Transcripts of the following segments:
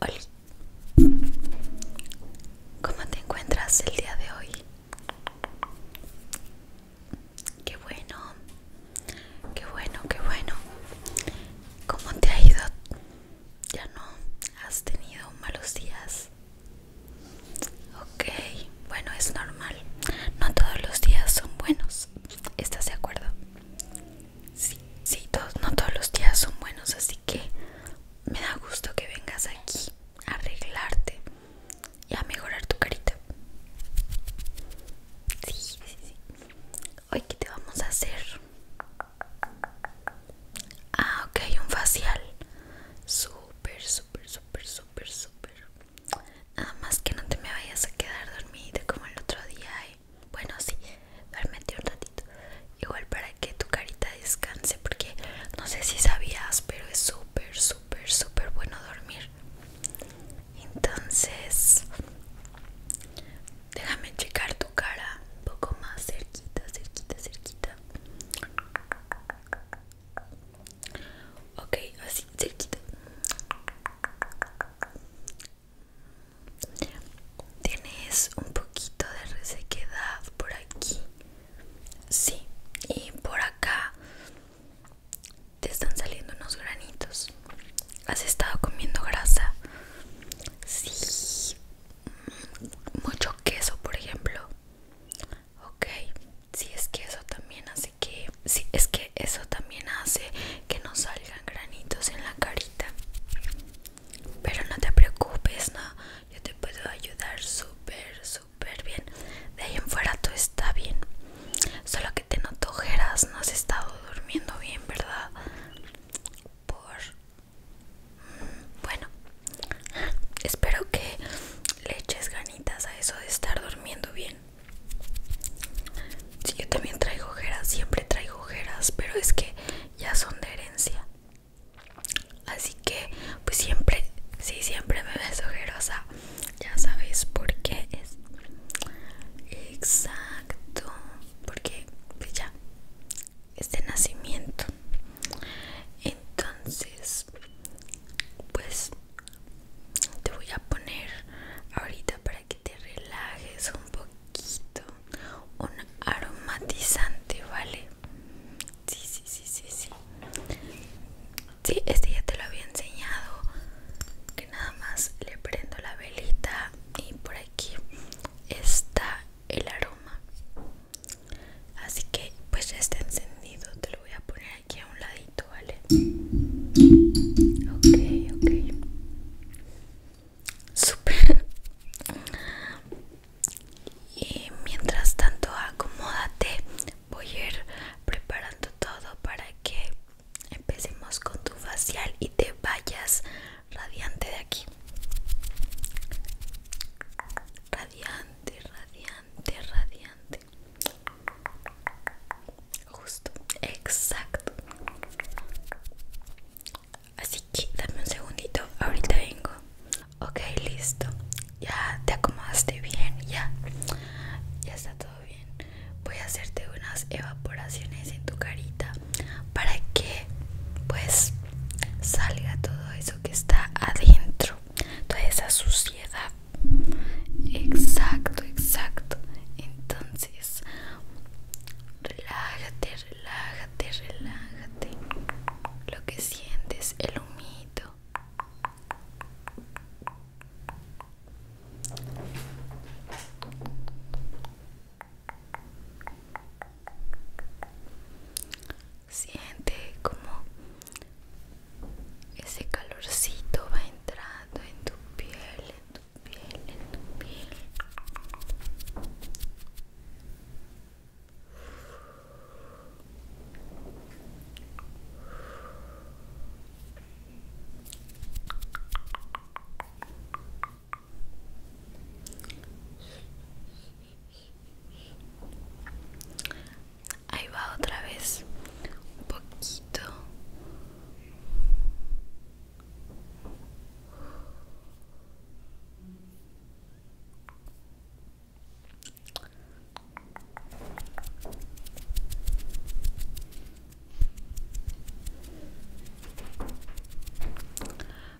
Hola, ¿cómo te encuentras el día de hoy? Qué bueno, qué bueno, qué bueno. ¿Cómo te ha ido? ¿Ya no has tenido malos días? Ok, bueno, es normal. No todos los días son buenos. ¿Estás de acuerdo? Sí, sí no todos los días son buenos, así que me da gusto que vengas aquí a arreglarte y a mejorar tu carita. Sí, sí, sí. Hoy, ¿qué te vamos a hacer? Ah, ok, un facial. Súper, súper, súper, súper, súper. Nada más que no te me vayas a quedar dormida como el otro día. bueno, sí, duérmete un ratito. Igual para que tu carita descanse, porque no sé si sabías, pero es súper, súper, súper bueno dormir. Entonces, déjame checar tu cara un poco más cerquita, cerquita, cerquita. Ok, así, cerquita. Tienes un poquito de resequedad por aquí. Sí, y por acá te están saliendo unos granitos. ¿Has estado comiendo grasa? Sí. Mm, mucho queso, por ejemplo. Ok, si es queso también, así que Sí, es que eso también hace que no salgan granitos en la carita. Pero no te preocupes, no. Yo te puedo ayudar súper, súper bien. De ahí en fuera todo está bien. Solo que te noto No has estado durmiendo bien, ¿verdad? Por. Mm, bueno. Espero que le eches ganitas a eso de estar durmiendo bien. Sí, yo también traigo ojeras, siempre traigo ojeras, pero es que ya son de herencia. Así que, pues siempre, sí, siempre me ves ojerosa. Ya sabéis por qué es. Exacto, porque pues ya es de nacimiento. Entonces, pues te voy a poner ahorita para que te relajes un poquito un aromatizante vale sí sí sí sí sí sí este ya te lo había enseñado que nada más le prendo la velita y por aquí está el aroma así que pues ya está encendido te lo voy a poner aquí a un ladito ¿vale? Ok, ok. Super. Y mientras tanto, acomódate. Voy a ir preparando todo para que empecemos con tu facial y te vayas radiante de aquí. Radiante, radiante, radiante. Justo, exacto. Así que dame un segundito, ahorita vengo. Ok, listo. Ya te acomodaste bien, ya. Ya está todo bien. Voy a hacerte unas evaporaciones en tu carita para que pues salga todo eso que está adentro, toda esa suciedad Exacto, exacto. Entonces, relájate, relájate, relájate. Lo que sientes, el humito. Siente como ese calorcito va entrando en tu piel, en tu piel, en tu piel. Ahí va otra vez. Un poquito.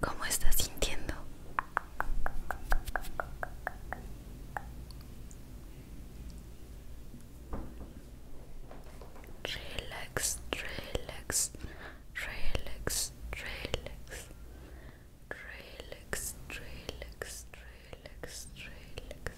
¿Cómo estás sintiendo? Relax, relax, relax, relax. Relax, relax, relax, relax.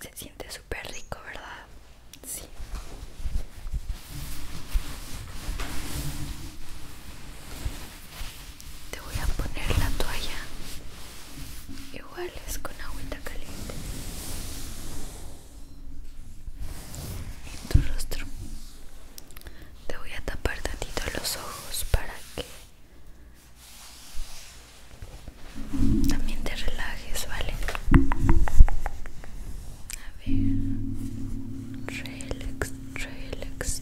Se siente súper rico, ¿verdad? Sí te voy a poner la toalla igual es con agüita caliente en tu rostro te voy a tapar tantito los ojos para que también te relajes vale a ver relax relax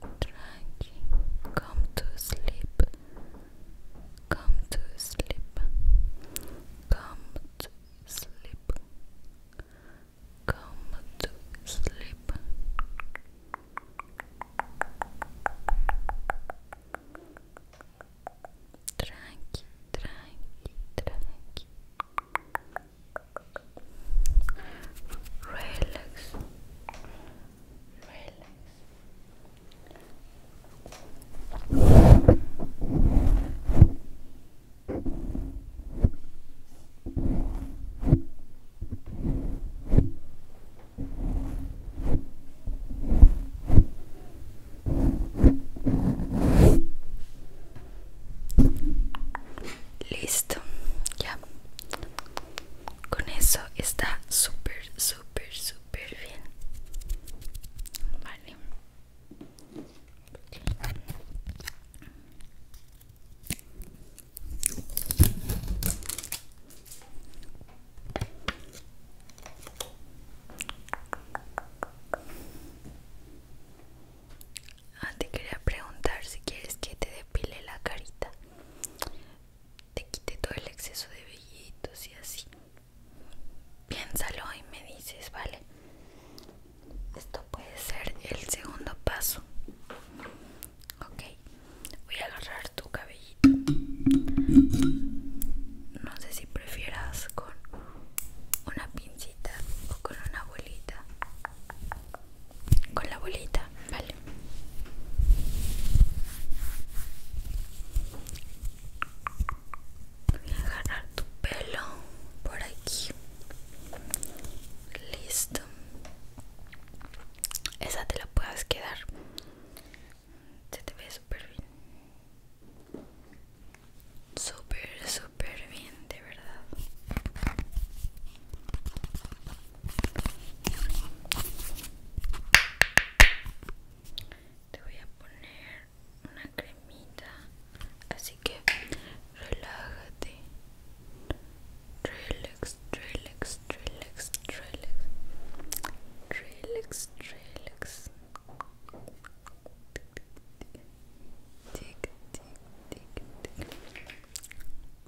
Drinking, come to sleep, come to sleep, come to sleep, come to sleep. Dranki, dranki, dranki. Relax, Listo, ya con eso está súper súper súper bien vale Ah, te quería preguntar si quieres que te depile la carita te quite todo el exceso de vellitos y así. Piénsalo y me dices, vale. Esto puede ser el segundo paso. Ok, voy a agarrar tu cabellito. No sé si prefieras con una pincita o con una bolita con la bolita, vale. Voy a agarrar tu pelo por aquí. Listo. Esa te la puedes quedar. Se te ve súper bien. Súper, súper bien. Te voy a poner una cremita, así que relájate. Relax, relax, relax, relax. Relax, relax.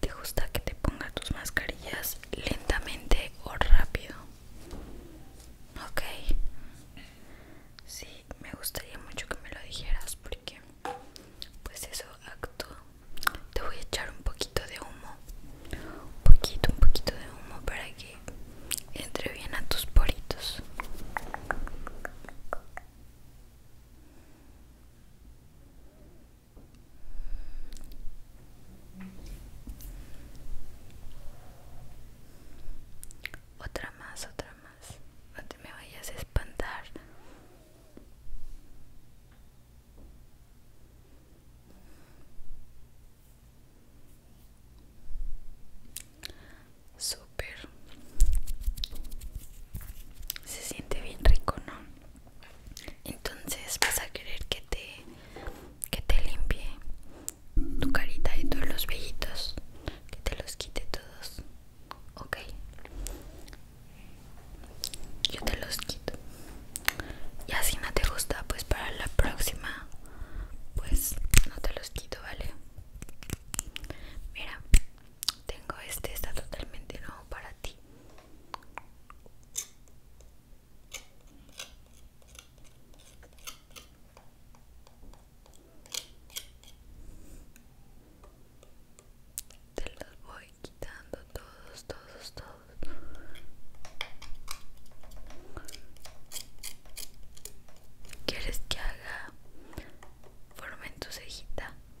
¿Te gusta que te ponga tus mascarillas lentamente o rápido? Ok. Sí, me gustaría mucho que me lo dijeras porque pues eso actúa. Te voy a echar un poquito de humo. Un poquito, un poquito de humo para que entre bien a tus poritos. Otra más, otra más. No me vayas a espantar. Súper se siente bien rico no entonces vas a querer que te que te limpie tu carita y todos los vellitos que te los quite todos ok yo te los quito y así no te gusta pues para la próxima pues no te los quito vale mira tengo este, está totalmente nuevo para ti. Te los voy quitando todos, todos, todos. ¿Quieres que haga forma en tu cejita?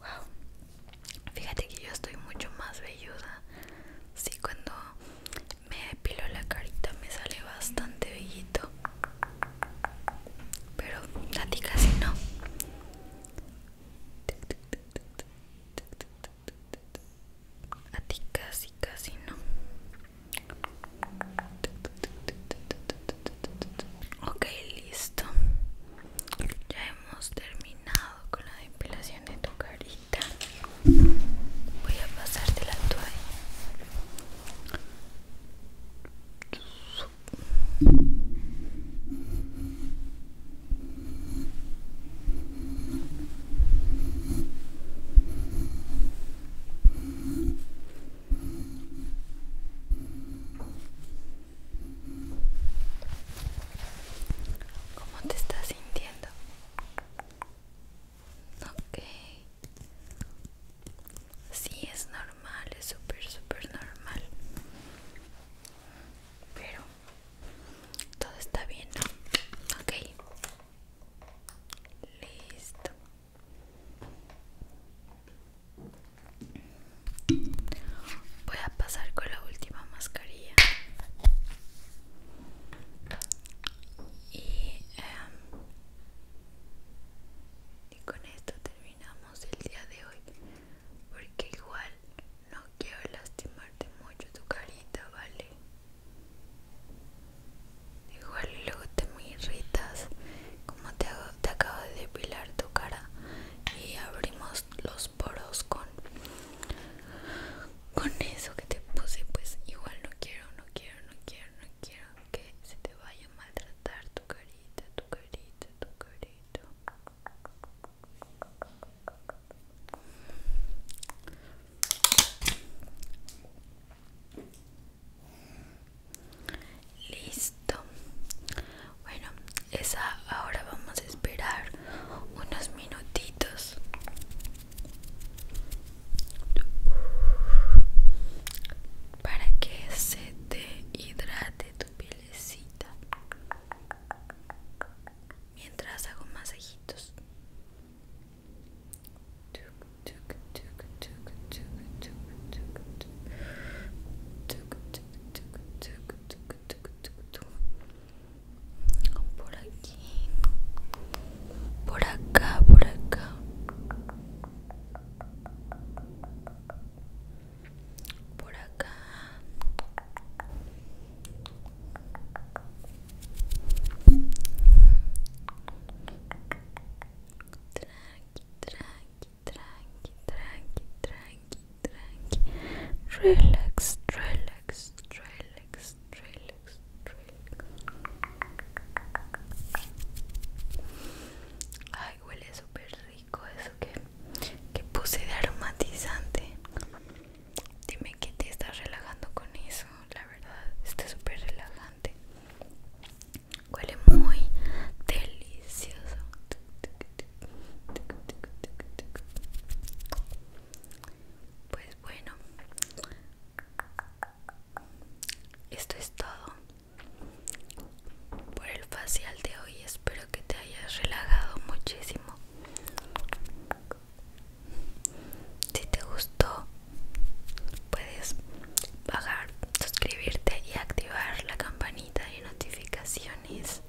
Wow, fíjate que yo estoy mucho más belluda Sí, cuando me depilo la carita, me sale bastante bellito. Pero a ti casi no. A ti casi, casi no. Ok, listo. Ya hemos terminado con la depilación de tu carita. Voy a pasarte la toalla. ¿Cómo te estás sintiendo? Ok. Sí, es normal, es súper, súper normal. Pero todo está bien, Ok. Listo. Voy a pasar con la última mascarilla. Y em, y con esto terminamos el día de hoy, porque igual no quiero lastimarte mucho tu carita, ¿vale? Igual luego te me irritas, como te, hago, te acabo de depilar tu cara y abrimos los poros con con eso que te puse, pues igual no quiero, no quiero, no quiero, no quiero que se te vaya a maltratar tu carita, tu carita, tu carita. Listo. Bueno, esa ahora vamos a esperar unos minutitos para que se te hidrate tu pielecita mientras hago masajitos por aquí por acá por acá por acá tranqui tranqui tranqui tranqui tranqui tranqui relax relax relax relax Ay, huele súper rico eso que, que puse de aromatizante. Dime que te estás relajando con eso, la verdad, está súper relajante. Huele muy delicioso. Pues bueno, esto es todo por el facial de hoy. Espero que te hayas relajado muchísimo. Si te gustó, puedes pagar suscribirte y activar la campanita de notificaciones.